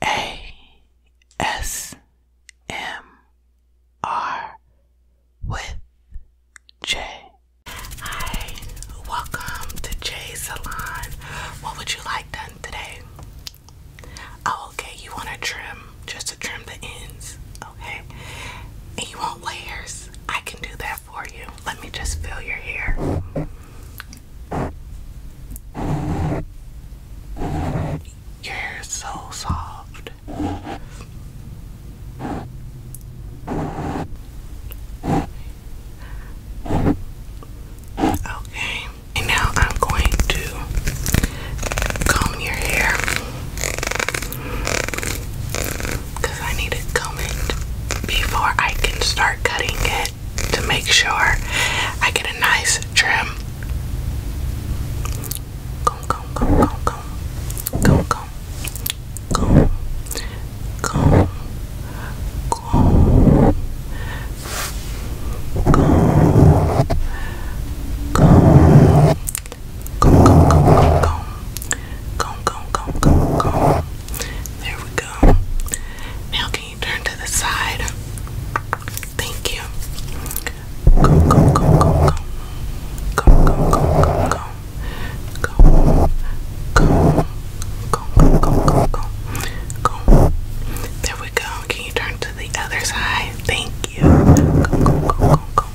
A S M R with Jay. Hi, welcome to Jay's Salon. What would you like done today? Oh, okay, you want to trim, just to trim the ends, okay? And you want layers? I can do that for you. Let me just fill your hair. You're so soft. Okay, and now I'm going to comb your hair because I need to comb it before I can start cutting it to make sure I get a nice trim. There we go. Now, turn to the side? Thank you. Go, go, go, go, go. Go, go, go, go, go. Go, go, go, go, go, go. Go. There we go. Can you turn to the other side? Thank you. Go, go, go, go, go.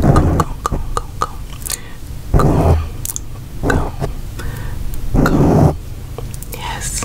Go, go, go, go, go. Go, go, go. Yes.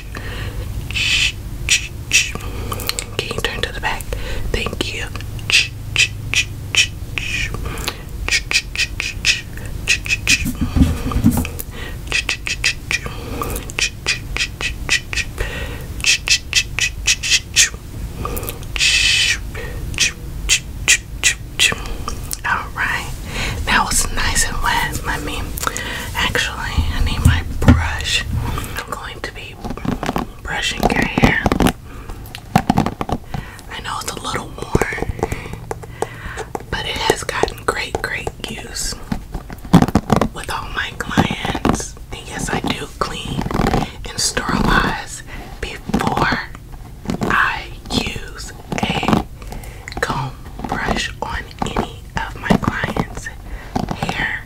Can you turn to the back? Thank you. Alright, that was nice and wet. Let me actually, I need my brush. I'm going to be brushing your hair. I know it's a little worn, but it has gotten great, great use with all my clients. And yes, I do clean and sterilize before I use a comb brush on any of my clients' hair.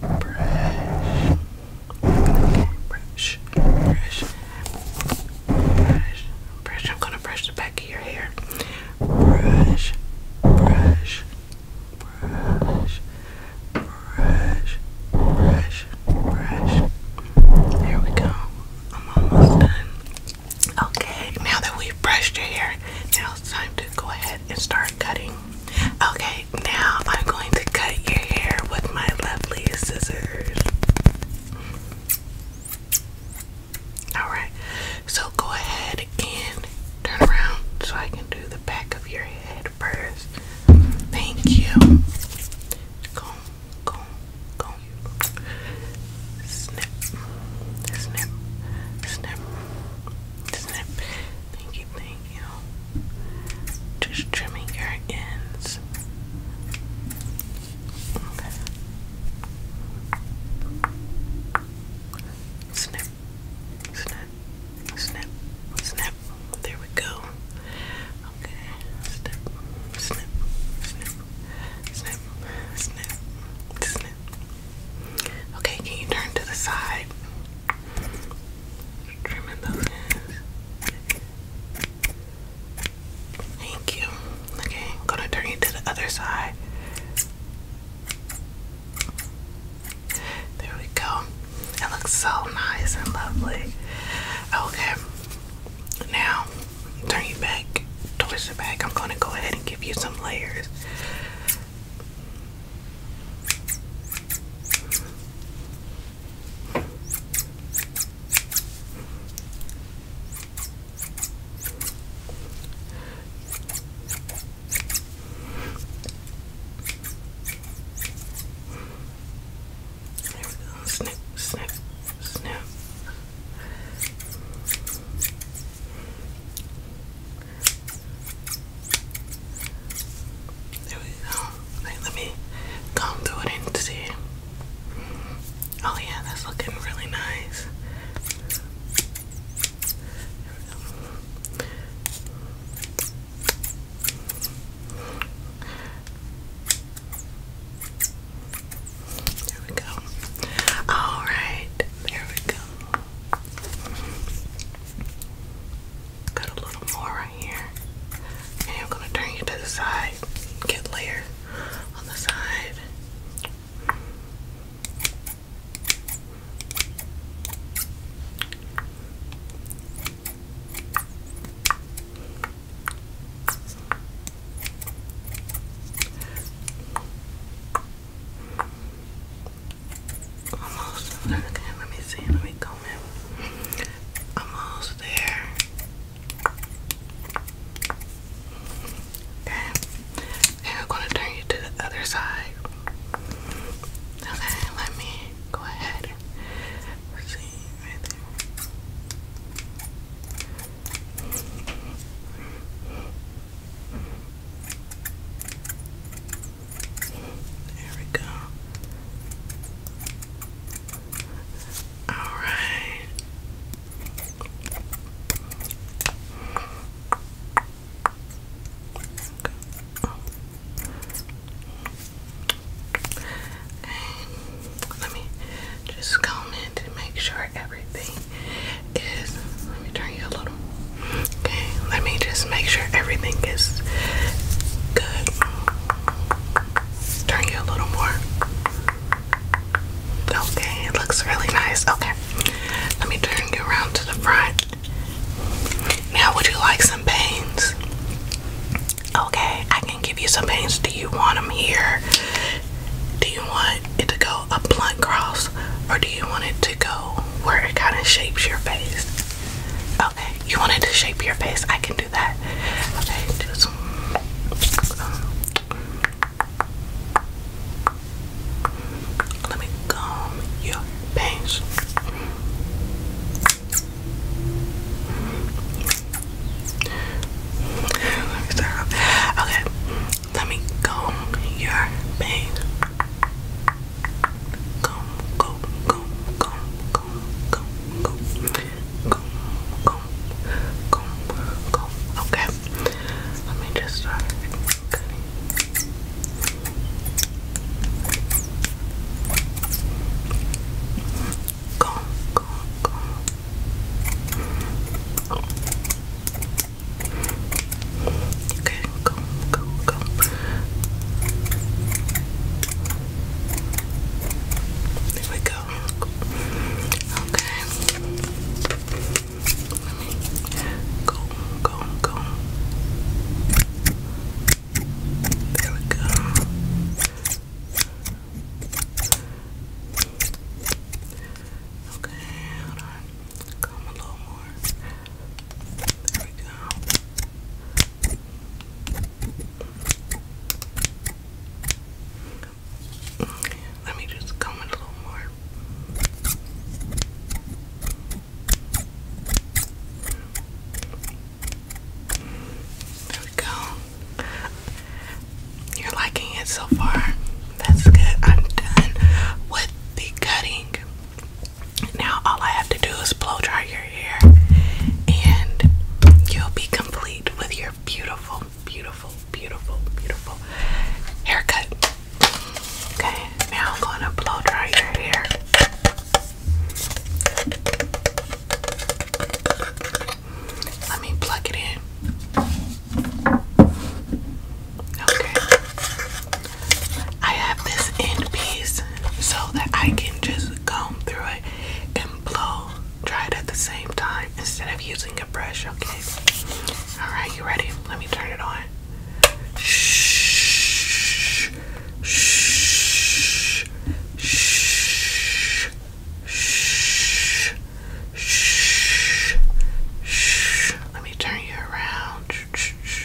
brush. Okay, brush, brush, brush, brush. I'm gonna brush the back of your hair. Brush, brush, brush, brush, brush, brush. There we go. I'm almost done. Okay, now that we've brushed your hair, now it's time to go ahead and start cutting Okay, now I'm going to cut your hair with my lovely scissors. Alright, so go ahead and turn around so I can do the back of your head first. Thank you. Comb, comb, comb. Snip, snip, snip, snip. Thank you, thank you. Just trimming your ends. Okay. Snip, snip, snip, snip. There we go. Okay. Snip, snip, snip, snip, snip, snip. Okay, can you turn to the side? Thank you. Okay, I'm gonna turn you to the other side. There we go. It looks so nice and lovely. Okay, now turn you back towards the back. I'm gonna go ahead and give you some layers. There we go. Snip, snip, snip. There we go. let me comb through it and see. Oh yeah, that's looking really nice. There we go. All right, there we go. Got a little more right here. And I'm gonna turn you to the side. Get layered on the side. Almost. Okay, let me see. Let me comb it. Almost there. Okay. And I'm gonna turn you to the other side. Okay, let me go ahead. Let's see right there. There we go. All right. Let me just comb in to make sure everything is. Let me turn you a little. Okay. Let me just make sure everything is good. Turn you a little more. Okay, it looks really nice. Okay, let me turn you around to the front. Now, would you like some pains? Okay, I can give you some pains. Do you want them here? Do you want it to go a blunt cross or do you want it to go where it kind of shapes your face? Okay, you wanted to shape your face, I can do that. Okay, just. let me comb your bangs. Let Okay, let me comb your bangs. Comb, comb, comb, comb, comb, comb, comb, comb, comb, comb, Okay, let me just start cutting. Comb, comb, Okay, comb, comb, comb. There we go. Okay. go, go, go. There we go. Okay, Come a little more. There we go. Let me just comb it a little more. go. You're liking it so far. That's good. I'm done with the cutting. Now all I have to do is blow dry your hair and you'll be complete with your beautiful, beautiful, beautiful, beautiful haircut. Okay, now I'm gonna blow dry your hair. Let me plug it in. Okay. I have this end piece so that I can just just through it and blow dry it at the same time instead of using a brush, okay? Alright, you ready? Let me turn it on. Shh, shh, shh, shh, shh, shh. Let me turn you around. shh,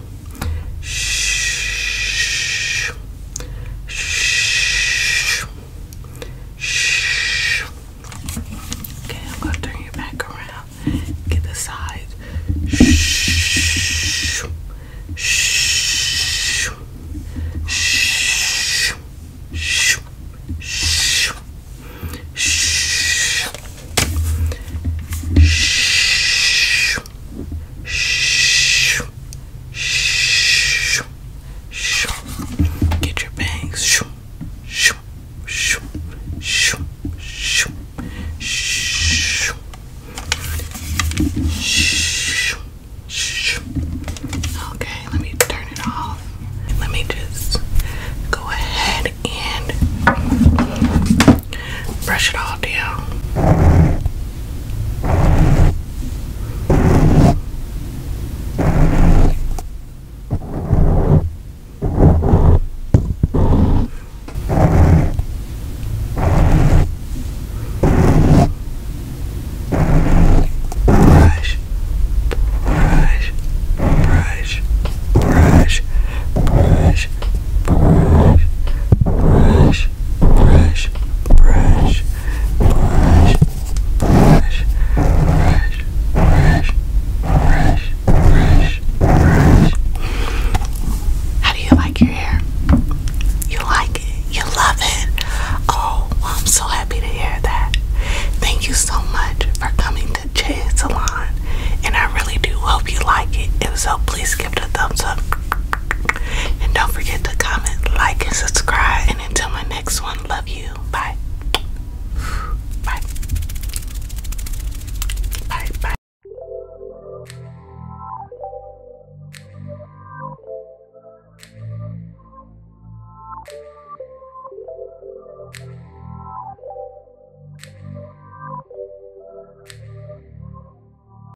shh, shh, shh, shh. Okay, I'm gonna turn you back around. Get the side. Shh, shh, shh, shh, shh. Shh. Shh. Shh. Shh. Shh. Get your bangs. Shh. Shh. Shh. Shh. Shh. Shh. Shh. Shh. Okay, let me turn it off. Let me just go ahead and brush it all down. brush, brush, brush, brush, brush, brush, brush, brush, brush, brush, brush, brush, brush, brush, brush, brush, brush. How do you like your hair? You like it? You love it? Oh, well, I'm so happy to hear that. Thank you so much for coming to Jay's Salon, and I really do hope you like it. If so, please give it a thumbs up. And don't forget to comment, like, and subscribe. And until my next one, love you. Bye. Bye. Bye. Bye.